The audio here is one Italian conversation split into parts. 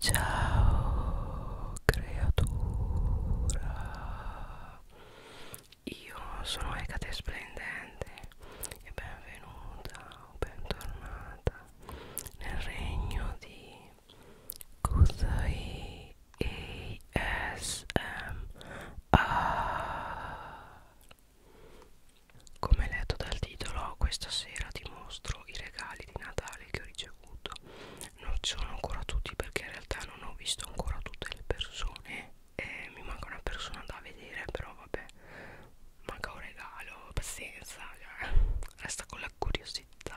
Ciao creatura, io sono Ecate Splendente e benvenuta o bentornata nel regno di Kuzai ASMR. Come letto dal titolo, questa sera ti mostro i regali di Natale che ho ricevuto avuto non ci sono ancora tutti perché in realtà non ho visto ancora tutte le persone eh, mi manca una persona da vedere però vabbè manca un regalo pazienza cioè, resta con la curiosità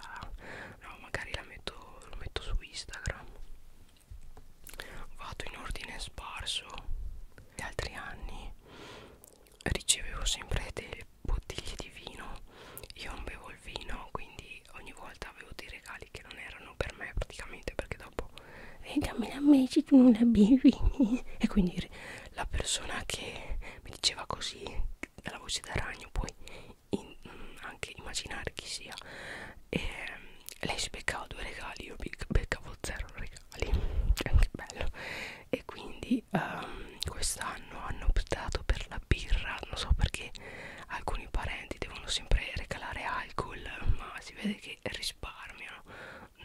no magari la metto, lo metto su instagram vado in ordine sparso gli altri anni ricevevo sempre delle bottiglie di vino io non bevo il vino quindi ogni volta avevo dei regali che non erano per me praticamente perché dopo e eh, dammi la meci tu non la bevi e quindi la persona che mi diceva così dalla voce da ragno puoi in, mm, anche immaginare chi sia e ehm, lei si beccava due regali io beccavo zero regali è anche bello e quindi um, quest'anno hanno optato per la birra non so perché alcuni parenti devono sempre regalare alcol ma si vede che risparmiano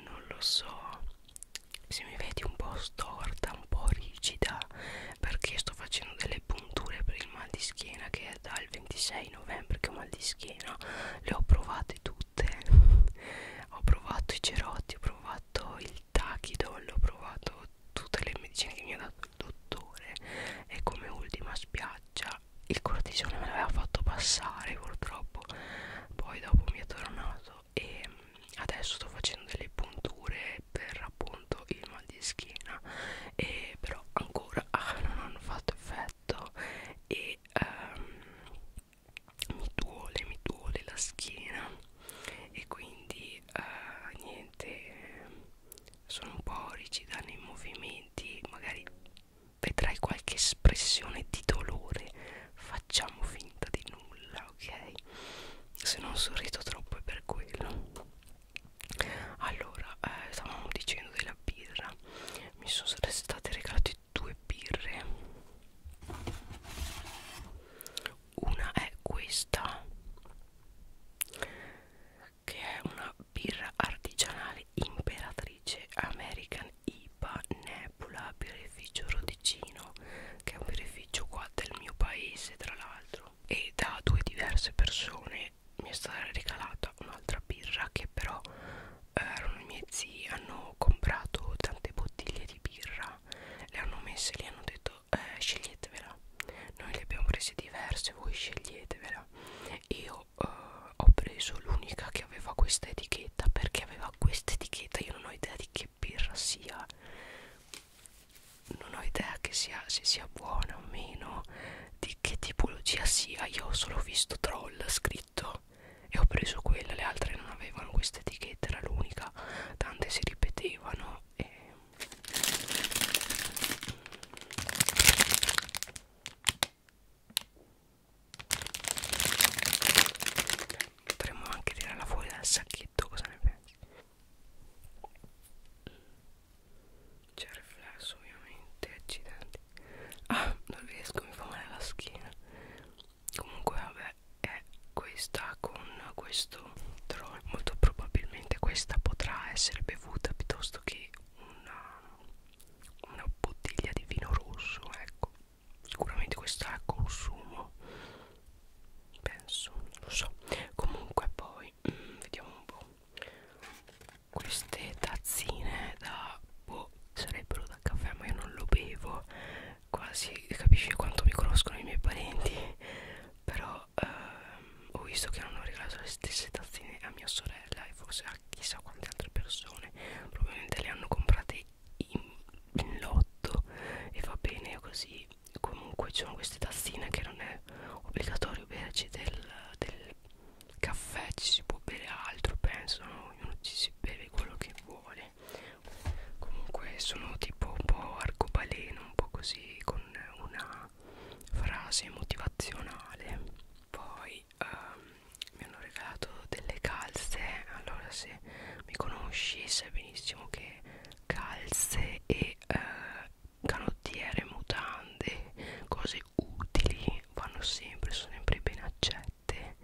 non lo so se mi vedi un po' storta un po' rigida perché sto facendo delle punture per il mal di schiena che è dal 26 novembre che ho mal di schiena le ho provate tutte ho provato i cerotti ho provato provato il tachidol, ho provato tutte le medicine che mi ha dato il dottore e come ultima spiaggia il cortisone me l'aveva fatto passare purtroppo poi dopo mi è tornato e mm, adesso sto facendo delle punture per appunto il mal di schiena e però ancora ah, non hanno fatto effetto e ehm, mi duole, mi duole la schiena e quindi eh, niente, sono un po' rigida nei movimenti, magari vedrai qualche espressione di dolore, facciamo finta di nulla, ok? Se non sorrido troppo è per quello. Allora, eh, stavamo dicendo della birra, mi sono state regalate due birre una è questa che è una birra artigianale imperatrice American IPA Nebula birrificio Rodicino che è un birrificio qua del mio paese tra l'altro e da due diverse persone mi è stata regalata un'altra birra che però eh, erano i miei zii hanno comprato tante bottiglie di birra le hanno messe lì hanno detto eh, sceglietevela noi le abbiamo prese diverse voi sceglietevela io eh, ho preso l'unica che aveva questa etichetta perché aveva questa etichetta io non ho idea di che birra sia non ho idea che sia, se sia buona o meno di che tipologia sia io ho solo visto troll scritto e ho preso quella le altre non avevano questa etichetta era l'unica volta tante si ripetevano e potremmo anche tirarla fuori dal sacchetto cosa ne pensi? c'è il riflesso ovviamente accidenti ah non riesco mi fa male la schiena comunque vabbè è questa con questo drone molto probabilmente questa potrà essere bevuta piuttosto che una, una bottiglia di vino rosso ecco sicuramente questa ha consumo penso non lo so comunque poi mm, vediamo un po' queste tazzine da boh sarebbero da caffè ma io non lo bevo quasi capisci quanto mi conoscono i miei parenti però ehm, ho visto che hanno regalato le stesse tazzine a mia sorella e forse a chissà quante altre persone probabilmente le hanno comprate in, in lotto e va bene così comunque ci sono queste tazzine che non è obbligatorio berci del, del caffè ci si può bere altro penso no? ognuno ci si beve quello che vuole bene comunque sono tipo un po' arcobaleno un po' così con una frase motivazionale poi um, mi hanno regalato delle calze allora se mi conosci sai benissimo che calze e uh, canottiere mutande cose utili vanno sempre sono sempre ben accette ricette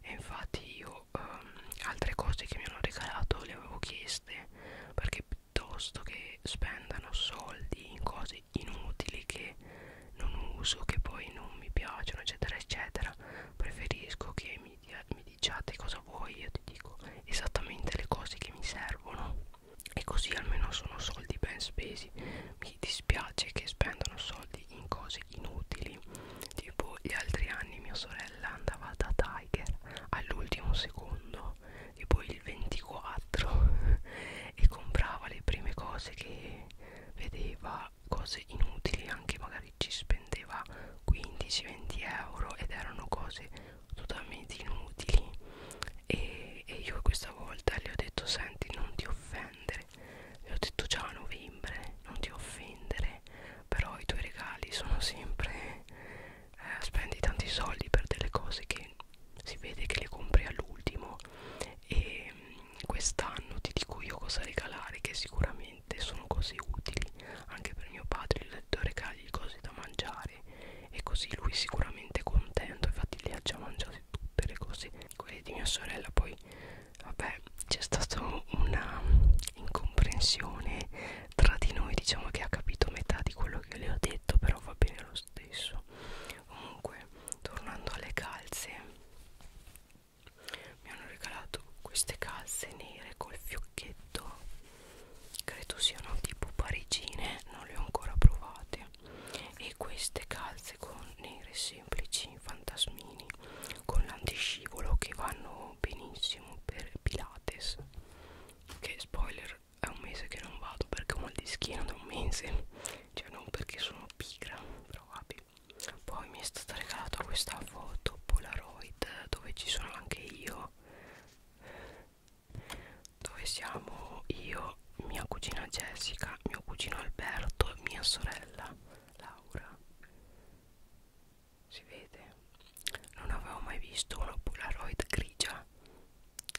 e infatti io um, altre cose che mi hanno regalato le avevo chieste perché piuttosto che spendano soldi in cose inutili che non uso che poi non mi piacciono eccetera eccetera preferisco che mi, dia, mi diciate cosa vuoi io ti dico esattamente le cose che mi servono e così almeno sono soldi ben spesi mi dispiace che spendano soldi in cose cose inutili tipo gli altri anni mia sorella andava da Tiger all'ultimo secondo e poi il 24 e comprava le prime cose che vedeva cose inutili anche magari ci spendeva 15-20 euro ed erano cose totalmente inutili e, e io questa volta le ho detto senti non ti offendere le ho detto già a novembre, non ti offendere, però i tuoi regali sono sempre eh, spendi tanti soldi per delle cose che si vede che le compri all'ultimo e mm, quest'anno ti dico io cosa regalare che sicuramente sono cose utili anche per mio padre gli ho detto regali cose da mangiare e così lui sicuramente è contento infatti le ha già mangiate tutte le cose quelle di mia sorella poi vabbè c'è stata una incomprensione tra di noi diciamo che ha capito metà di quello che le ho detto però va bene lo stesso comunque tornando alle calze mi hanno regalato queste calze nere col fiocchetto credo siano tipo parigine non le ho ancora provate e queste calze con nere semplici fantasmini con l'antiscivolo che vanno benissimo per Pilates che spoiler è un mese che non vado perché ho mal di schiena da un mese cioè non perché sono pigra però vabbè poi mi è stata regalata questa foto polaroid dove ci sono anche io dove siamo io mia cugina Jessica mio cugino Alberto mia sorella Laura si vede non avevo mai visto una polaroid grigia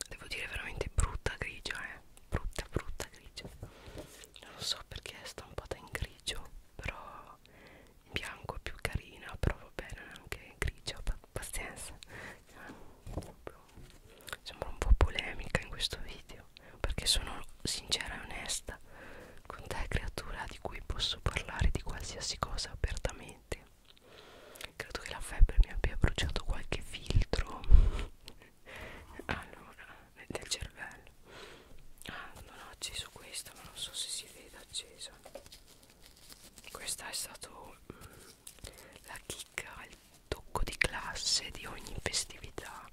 devo dire veramente brutta grigia eh brutta brutta grigia non lo so perché è stampata in grigio però in bianco è più carina però va bene anche grigia pazienza sembra un po' polemica in questo video perché sono sincera e onesta con te creatura di cui posso parlare di qualsiasi cosa apertamente credo che la febbre mi abbia bruciato qualche filtro allora del cervello ah non ho acceso questa ma non so se si vede accesa questa è stato mm, la chicca il tocco di classe di ogni festività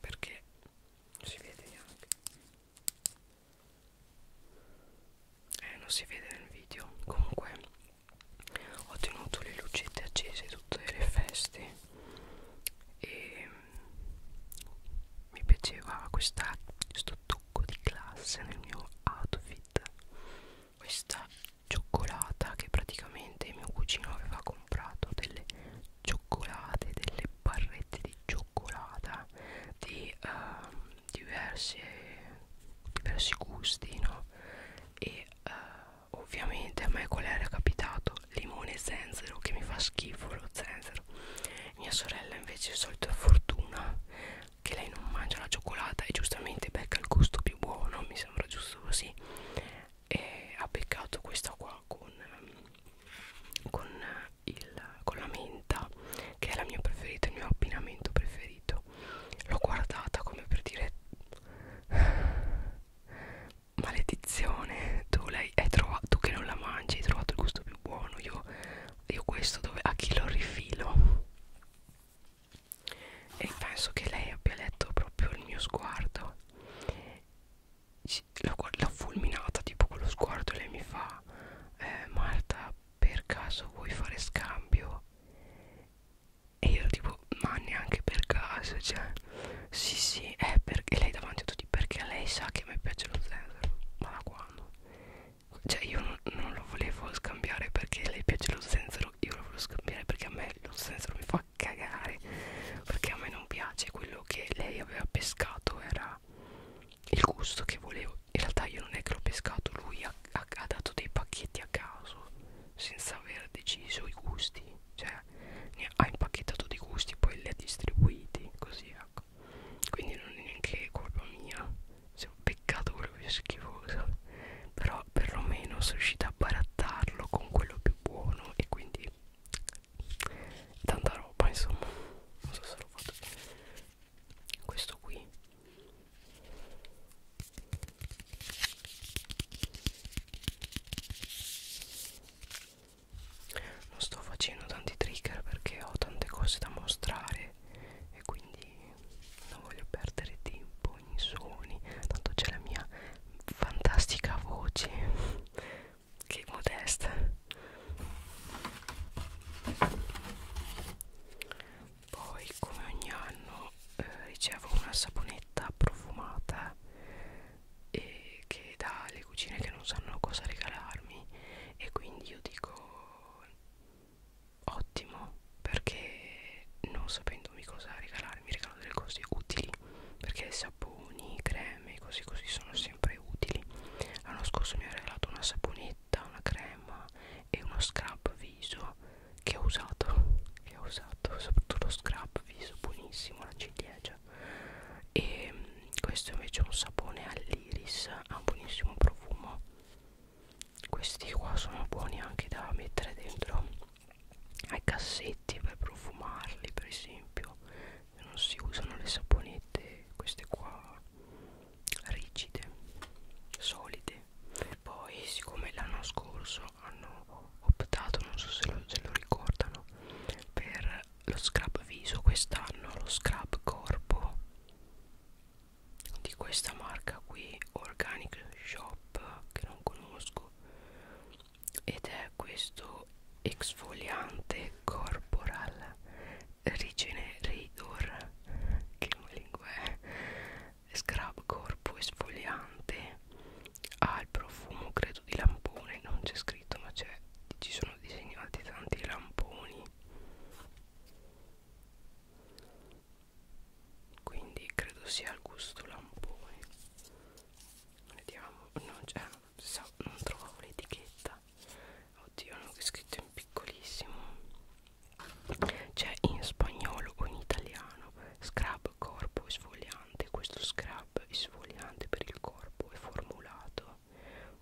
perché non si vede neanche eh non si vede nel video comunque ho tenuto le lucette accese tutte le feste e mm, mi piaceva questa, questo tocco di classe nel mio outfit questa cioccolata che praticamente mio cugino aveva comprato delle cioccolate, delle barrette di cioccolata di uh, ehm, diversi, diversi gusti, no? E uh, ovviamente a me qual era capitato? Limone e zenzero, che mi fa schifo lo zenzero. Mia sorella invece, solito fortuna, che lei non mangia la cioccolata e giustamente becca il gusto più buono, mi sembra giusto così e ha beccato questa qua con, ehm, con, il, con la menta che è la mia preferita, il mio abbinamento preferito l'ho guardata come per dire maledizione tu, lei hai trovato, tu che non la mangi hai trovato il gusto più buono io, io questo dove, a chi lo rifilo e penso che lei abbia letto proprio il mio sguardo l'ho fulminata tipo con lo sguardo lei mi fa eh, Marta per caso vuoi fare scambio e io tipo ma neanche per caso cioè sì sì è eh, perché lei davanti a tutti perché lei sa che a me piace lo zenzero ma da quando cioè io non, non lo volevo scambiare perché lei piace lo zenzero io lo volevo scambiare perché a me lo zenzero mi fa fa cagare perché a me non piace quello che lei aveva pescato era il gusto che volevo in realtà io non è che l'ho pescato lui ha, ha, ha dato dei pacchetti a caso senza aver deciso i gusti cioè ne ha impacchettato dei gusti poi li ha distribuiti così ecco quindi non è neanche colpa mia se ho peccato quello più schifoso però perlomeno sono riuscita a barattarlo con quello più buono buono e quindi tanta roba insomma non so se l'ho fatto questo qui non sto facendo tanti trigger perché ho tante cose da mostrare e quindi non voglio perdere tempo suoni, suoni, tanto c'è la mia fantastica voce, che modesta. Poi come ogni anno eh, ricevo una saponetta profumata e che dà le cucine che non sanno cosa regalarmi e quindi io dico ottimo perché non sapendomi cosa regalarmi regalano sono delle cose utili perché saponi, creme, così così sono sempre utili. L'anno scorso mi ha regalato una saponetta, una crema e uno scrub viso che ho usato, che ho usato, soprattutto lo scrub viso, buonissimo, la ciliegia. E mm, questo invece è un sapone all'iris, ha un buonissimo profumo. Questi qua sono buoni anche da mettere dentro ai cassetti per profumarli per esempio non si usano le saponette queste qua rigide solide poi siccome l'anno scorso hanno optato non so se lo, se lo ricordano per lo scrub viso quest'anno lo scrub corpo di questa marca qui organic shop che non conosco ed è questo exfoliante corporal regenerator che lingua è scrub corpo esfoliante ha il profumo credo di lampone non c'è scritto ma c'è ci sono disegnati tanti lamponi quindi credo sia al gusto lampone vediamo non, cioè, so, non trovavo l'etichetta oddio non è scritto in piccolissimo c'è in spagnolo o in italiano scrub corpo esfoliante questo scrub esfoliante per il corpo è formulato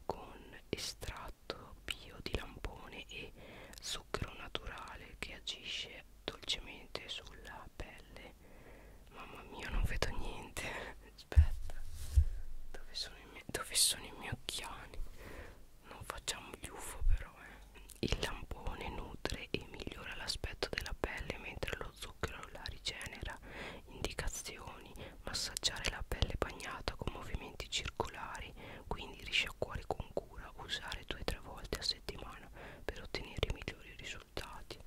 con estratto bio di lampone e zucchero naturale che agisce piove dolcemente sulla pelle mamma mia non vedo niente aspetta dove sono, i dove sono i miei occhiali non facciamo gli UFO però eh. il lampone nutre e migliora l'aspetto della pelle mentre lo zucchero la rigenera indicazioni massaggiare la pelle bagnata con movimenti circolari quindi risciacquare con cura usare due o tre volte a settimana settimana per ottenere i migliori risultati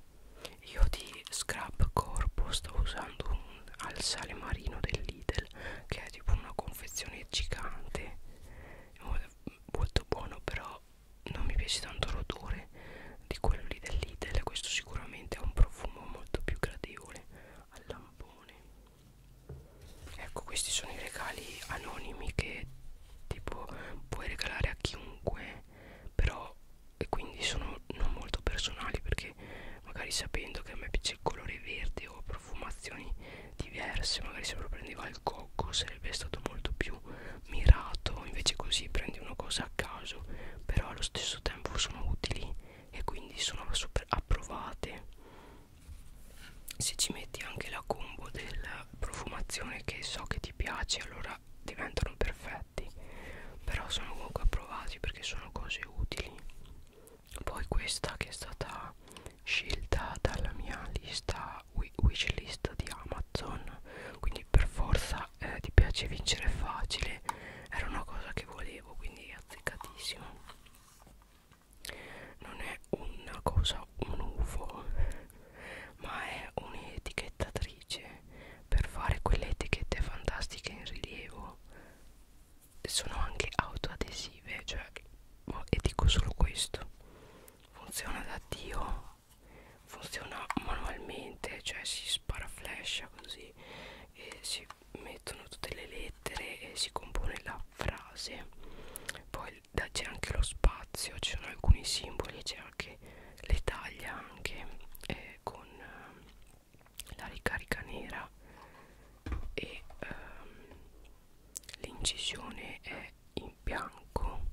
io di scrap corpo stavo usando un al sale marino del Lidl che è tipo una confezione gigante molto buono però non mi piace tanto l'odore di quello lì del Lidl questo sicuramente ha un profumo molto più gradevole al lampone ecco questi sono i regali anonimi che tipo puoi regalare a chiunque però e quindi sono non molto personali perché magari sapendo che a me piace il colore verde o profumazioni diverse magari se lo prendeva il cocco sarebbe stato molto più mirato invece così prendi una cosa a caso però allo stesso tempo sono utili e quindi sono super approvate se ci metti anche la combo della profumazione che so che ti piace allora diventano perfetti però sono comunque approvati perché sono cose utili poi questa che è stata scelta dalla mia lista wishlist di Amazon quindi per forza eh, ti piace vincere facile era una cosa che volevo quindi azzeccatissimo non è una cosa un UFO ma è un'etichettatrice per fare quelle etichette fantastiche in rilievo sono anche autoadesive cioè boh, e dico solo questo funziona da dio funziona manualmente cioè si sparaflescia così e si mettono tutte le lettere e si compone la frase poi c'è anche lo spazio ci sono alcuni simboli c'è anche le taglia anche eh, con eh, la ricarica nera e ehm, l'incisione è in bianco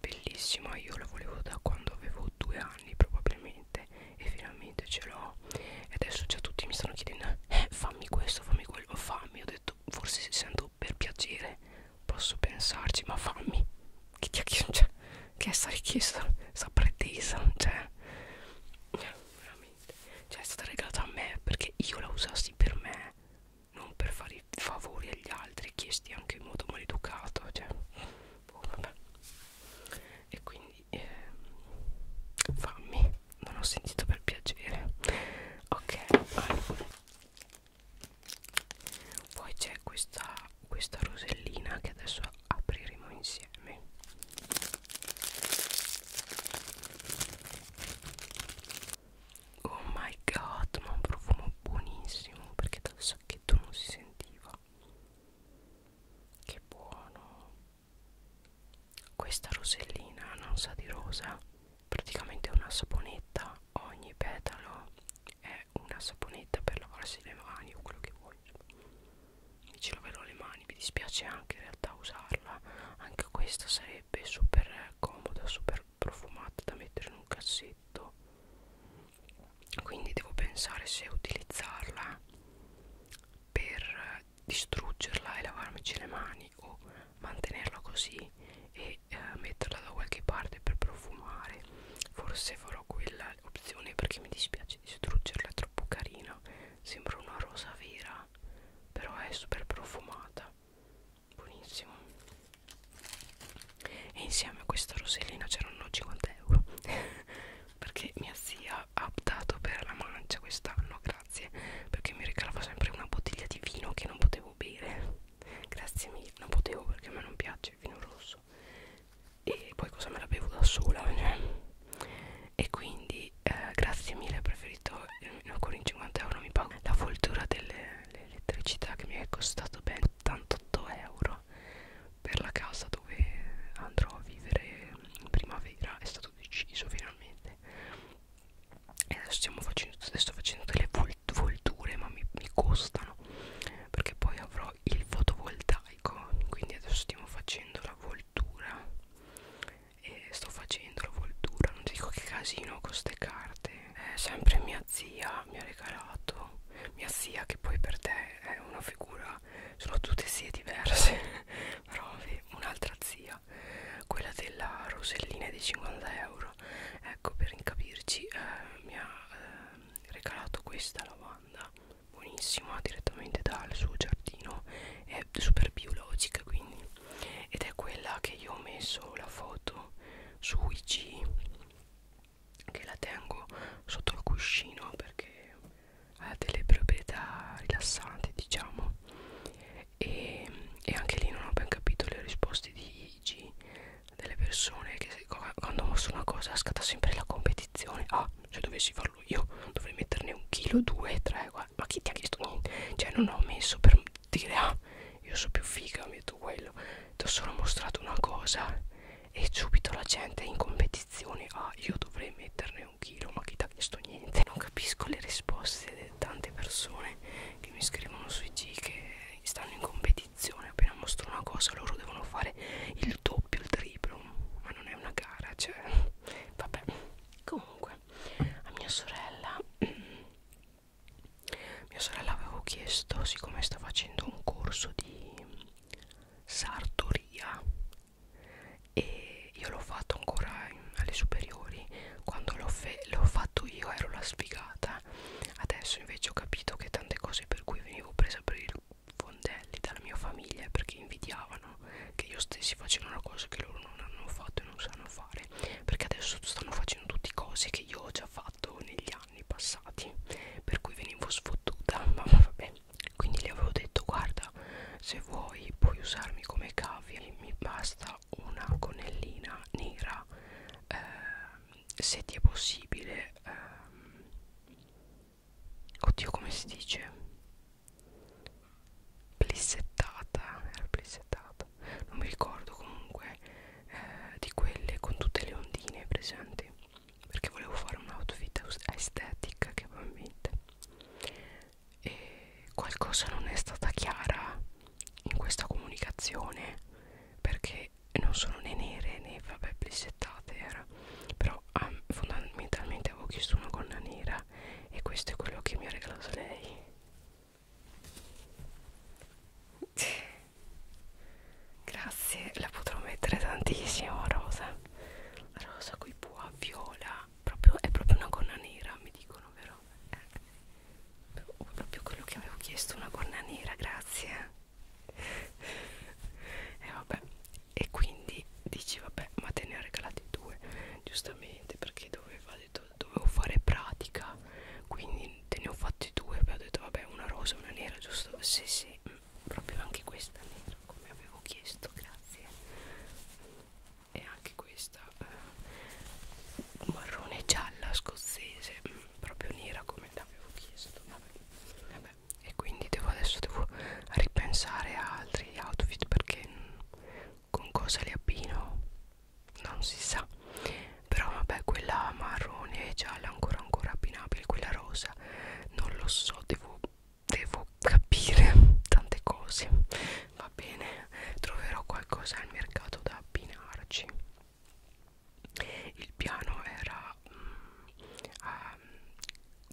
bellissima io la volevo da quando avevo due anni probabilmente e finalmente ce l'ho e adesso già tutti mi stanno chiedendo eh, fammi questo fammi quello fammi ho detto forse sento adesso per piacere posso pensarci ma fammi che ti ha chiesto cioè, che è sta richiesta sta pretesa cioè veramente cioè è stata regalata a me perché io la usassi per me non per fare i favori agli altri chiesti anche in modo maleducato cioè boh, vabbè e quindi eh, fammi non ho sentito per piacere ok allora poi c'è questa, questa rosellina che adesso apriremo insieme oh my god ma un profumo buonissimo perché dal sacchetto non si sentiva che buono questa rosellina non sa di rosa praticamente una saponetta ogni petalo è una saponetta per lavarsi le mani o quello che vuoi mi ci laverò le mani mi dispiace anche in realtà usarla anche questa sarebbe super comoda super profumata da mettere in un cassetto quindi devo pensare se utilizzarla per distruggerla e lavarmici le mani termico mantenerla così e eh, metterla da qualche parte per profumare forse farò quella opzione perché mi dispiace distruggerla è troppo carina sembra una rosa vera però è super profumata buonissimo e insieme a questa rosellina c'erano 50 euro perché mia zia ha optato per la mancia quest'anno grazie perché mi regalava sempre una bottiglia di vino che non potevo bere grazie mille non potevo perché a me non piace il vino rosso e poi cosa me la bevo da sola cioè. e quindi eh, grazie mille ho preferito eh, ancora in 50 euro mi pago la foltura dell'elettricità che mi è costato ben 88 euro per la casa dove andrò a vivere in primavera è stato deciso finalmente e adesso stiamo facendo, sto facendo delle volture ma mi, mi costano perché poi avrò il fotovoltaico quindi adesso stiamo facendo la voltura e sto facendo la voltura non ti dico che casino con queste carte è sempre mia zia mi ha regalato mia zia che poi per te è una figura sono tutte zie diverse però un'altra zia quella quella della rosellina di 50 euro ecco per incapirci eh, mi ha eh, regalato questa lavanda buonissima direttamente dal suo giardino è super biologica quindi ed è quella che io ho messo la foto su IG che la tengo sotto il cuscino perché ha delle proprietà rilassanti diciamo e, e anche lì non ho ben capito le risposte di IG delle persone che quando mostro una cosa scatta sempre la competizione ah se dovessi farlo io dovrei metterne un chilo due tre guarda. ma chi ti ha chiesto niente cioè non ho messo per dire ah io so più figa metto quello ti ho solo mostrato una cosa e subito la gente è in competizione ah io dovrei metterne è un chilo ma chi t'ha chiesto niente non capisco le risposte di tante persone che mi scrivono sui G che stanno in competizione appena mostro una cosa loro devono fare il doppio il triplo ma non è una gara cioè vabbè comunque a mia sorella mia sorella avevo chiesto siccome sta facendo un corso di sartoria e io l'ho fatto ancora in, alle superiori quando l'ho fatto io ero la sfigata adesso invece ho capito che tante cose per cui venivo presa per i fondelli dalla mia famiglia perché invidiavano che io stessi facendo una cosa che loro non hanno fatto e non sanno fare perché adesso stanno facendo tutte cose che io ho già fatto negli anni passati per cui venivo sfottuta ma vabbè quindi le avevo detto guarda allora se vuoi puoi usarmi come cavi mi basta una connellina nera eh, se ti è possibile ehm, oddio come si dice plissettata era plissettata non mi ricordo comunque eh, di quelle con tutte le ondine presenti perché volevo fare un outfit aesthetic che probabilmente e qualcosa non è stata chiara in questa comunicazione perché non sono né nere né vabbè blissettate era però ah, fondamentalmente avevo chiesto una gonna nera e questo è quello che mi ha regalato lei grazie la potrò mettere tantissimo rosa rosa coi pua viola nera proprio, è proprio una gonna nera mi dicono vero? Eh, proprio quello che avevo chiesto una gonna nera grazie e eh, vabbè e quindi dici vabbè ma te ne ho regalati due giustamente perché doveva, detto, dovevo fare pratica quindi te ne ho fatti due e ho detto vabbè una rosa e una nera giusto? sì sì mm, proprio anche questa nera come avevo chiesto grazie e anche questa eh, marrone gialla scozzese mh, mm, proprio nera come l'avevo chiesto vabbè. Vabbè. e quindi devo, adesso devo ripensare a altri outfit perché mm, con cosa li abbino non si sa però vabbè quella marrone e gialla ancora ancora abbinabile quella rosa non lo so devo devo capire tante cose va bene troverò qualcosa al mercato da abbinarci il piano era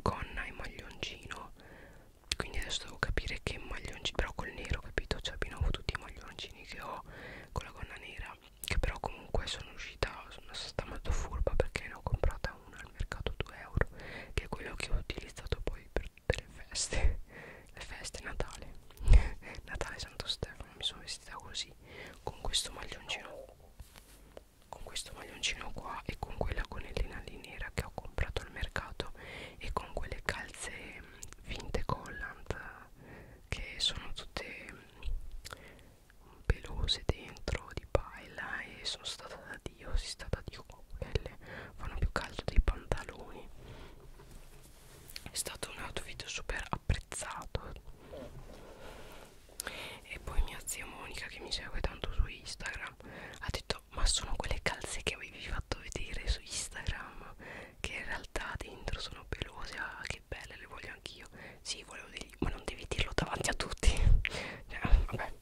gonna mm, ah, e maglioncino quindi adesso devo capire che maglioncino però col nero capito cioè abbinavo tutti i maglioncini che ho con la gonna nera che però comunque sono uscita sono stata molto furba perché ne ho comprata una al mercato 2 euro che è quello che ho utilizzato poi per per tutte le feste le feste Natale Natale Santo Stefano mi sono vestita così con questo maglioncino con questo maglioncino qua e con quella gonnellina lì nera che ho comprato al mercato e con quelle calze finte mm, collant che sono tutte mm, pelose dentro di paella e sono stata da io si sta da Dio quelle fanno più caldo dei pantaloni è stato un outfit super apprezzato e poi mia zia Monica che mi segue tanto su Instagram ha detto ma sono quelle calze che avevi fatto vedere su Instagram che in realtà dentro sono pelose ah che belle le voglio anch'io sì volevo dirgli ma non devi dirlo davanti a tutti cioè, vabbè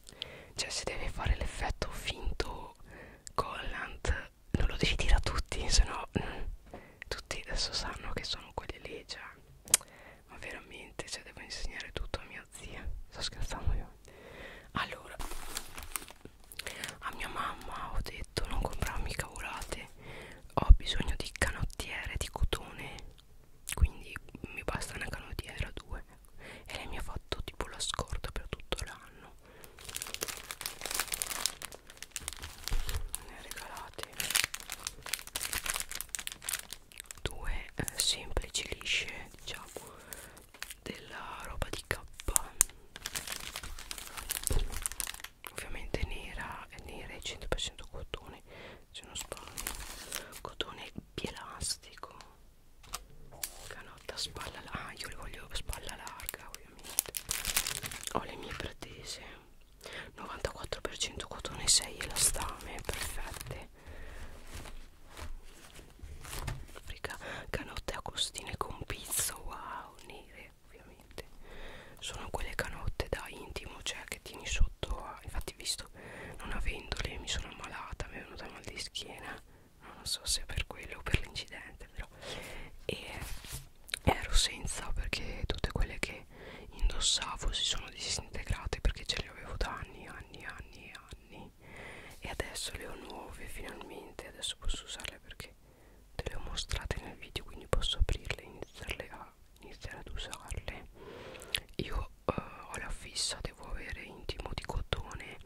cioè se devi fare l'effetto finto collant non lo devi dire a tutti sennò mh, mm, tutti adesso sanno che sono quelli lì già cioè, ma veramente cioè devo insegnare tutto a mia zia sto scherzando io allora a mia mamma ho detto non comprarmi cavolate ho bisogno di canottiere di cotone quindi mi basta una canottiera due e lei mi ha fatto tipo la scorta per tutto l'anno ne ha regalati due eh, semplici lisce diciamo della roba di K ovviamente nera nera e 100% cotone se non sbaglio cotone pielastico canotta spalla larga ah io le voglio spalla larga ovviamente ho le mie pretese 94% cotone 6 elastame perfette Rica, canotte a costine con pizzo wow nere ovviamente sono quelle canotte da intimo cioè che tieni sotto a, infatti vi, questo non avendole mi sono ammalata mi è venuta mal di schiena non so se per quello o per l'incidente però e ero senza perché tutte quelle che indossavo si sono disintegrate perché ce le avevo da anni anni anni anni e adesso le ho nuove finalmente adesso posso usarle perché te le ho mostrate nel video quindi posso aprirle e iniziarle a iniziare ad usarle io uh, ho la fissa devo avere intimo di cotone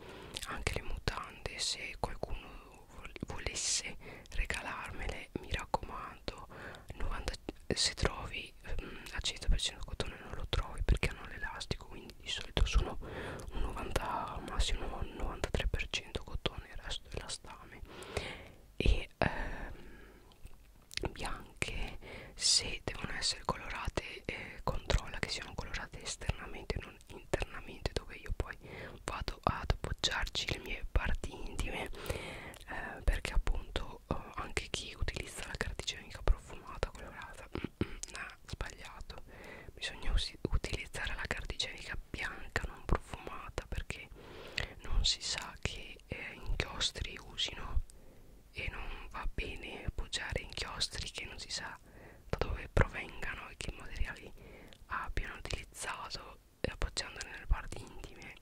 anche le mutande se qualcuno vol volesse regalarmele mi raccomando 90, se trovi um, al 100% cotone non lo trovi perché hanno l'elastico quindi di solito sono un 90 massimo un 93% cotone il resto è elastame e ehm, bianco anche se devono essere colorate eh, controlla che siano colorate esternamente non internamente dove io poi vado ad appoggiarci le mie parti intime eh, perché appunto eh, anche chi utilizza la cartigenica profumata colorata mm -mm, nah, sbagliato bisogna utilizzare la cartigenica bianca non profumata perché non si sa che eh, inchiostri usino e non va bene appoggiare inchiostri che non si sa da dove provengano e che materiali abbiano utilizzato eh, appoggiandoli nelle parti intime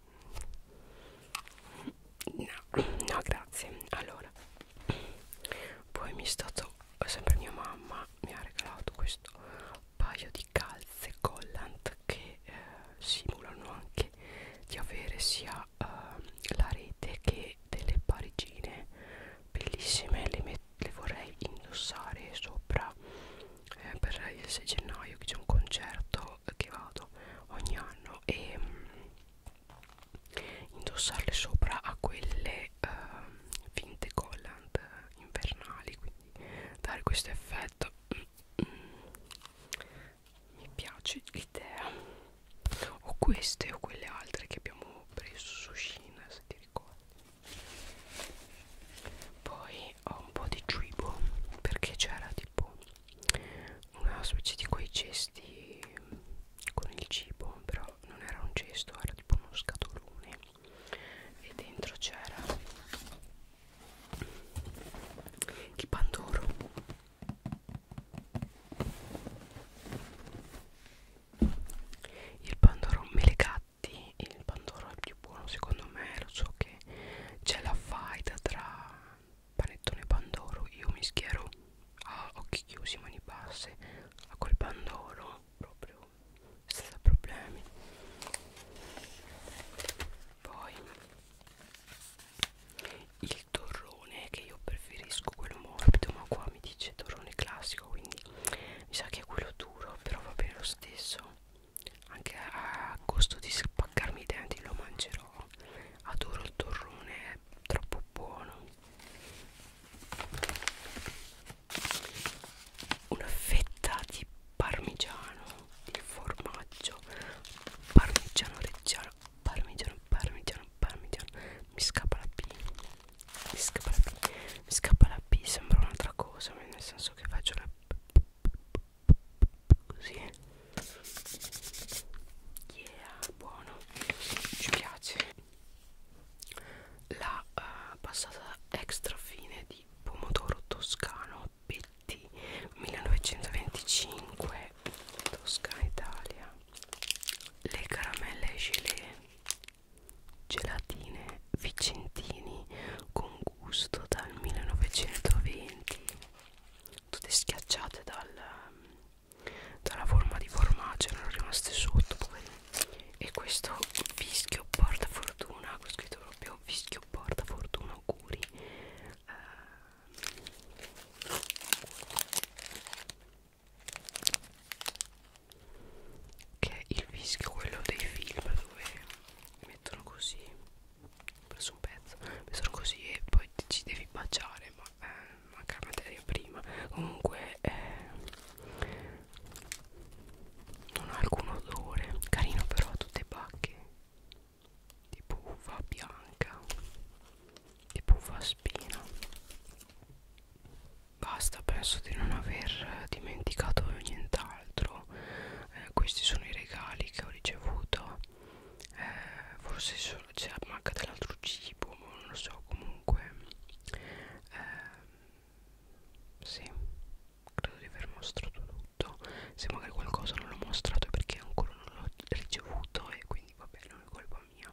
no, no grazie allora poi mi è stato sempre mia mamma mi ha regalato questo paio di calze collant che eh, simulano anche di avere sia uh, la rete che delle parigine bellissime le, met le vorrei indossare sopra eh, per il 6 gennaio che c'è un concerto che vado ogni anno e mh, mm, indossarle sopra a quelle uh, eh, finte collant eh, invernali quindi dare questo effetto mm, mm mi piace l'idea o queste o quelle altre che abbiamo preso su Shina se ti ricordi poi ho un po' di cibo perché c'era tipo una specie di quei cesti con il cibo però non era un cesto era tipo uno scatolone e dentro c'era il pandoro il pandoro mele gatti il pandoro è il più buono secondo me lo so che c'è la faida tra panettone e pandoro io mi schiero a occhi chiusi mani basse a quel pandoro proprio senza problemi poi il torrone che io preferisco quello morbido ma qua mi dice torrone classico quindi mi sa che è quello duro però va bene lo stesso anche a costo di spaccarmi i denti lo mangerò adoro il torrone è troppo buono una fetta di parmigiano di formaggio parmigiano reggiano parmigiano parmigiano parmigiano mi scappa la P mi scappa la P mi scappa la P sembra un'altra cosa nel senso che faccio la così eh. yeah buono ci piace la uh, passata extra fine di pomodoro toscano pe Ritti 1925 Toscana Italia le caramelle gelée gelatine vicentini con gusto dal 1920 tutte schiacciate dal, dalla forma di formaggio erano rimaste sotto e questo fischio porta fortuna ho scritto proprio fischio porta fortuna auguri eh, che è il fischio quello dei film dove mettono così ho preso un pezzo mettono così e poi ci devi mangiare ma eh, manca la materia prima comunque eh, non ha alcun odore carino però a tutte bacche tipo uva bianca tipo uva spina basta penso di non aver dimenticato nient'altro eh, questi sono i regali che ho ricevuto eh, forse solo c'è cioè, manca dell'altro cibo ma non lo so comunque eh, sì credo di aver mostrato tutto tutto se magari qualcosa non l'ho mostrato è perché ancora non l'ho ricevuto e quindi va bene non è colpa mia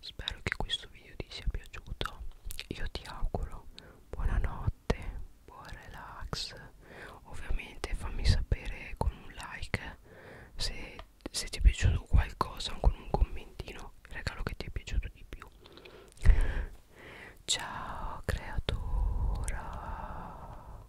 spero che questo video ti sia piaciuto io ti auguro buonanotte buon relax ovviamente fammi sapere con un like se, se ti è piaciuto qualcosa con un commentino il regalo che ti è piaciuto di più ciao creatura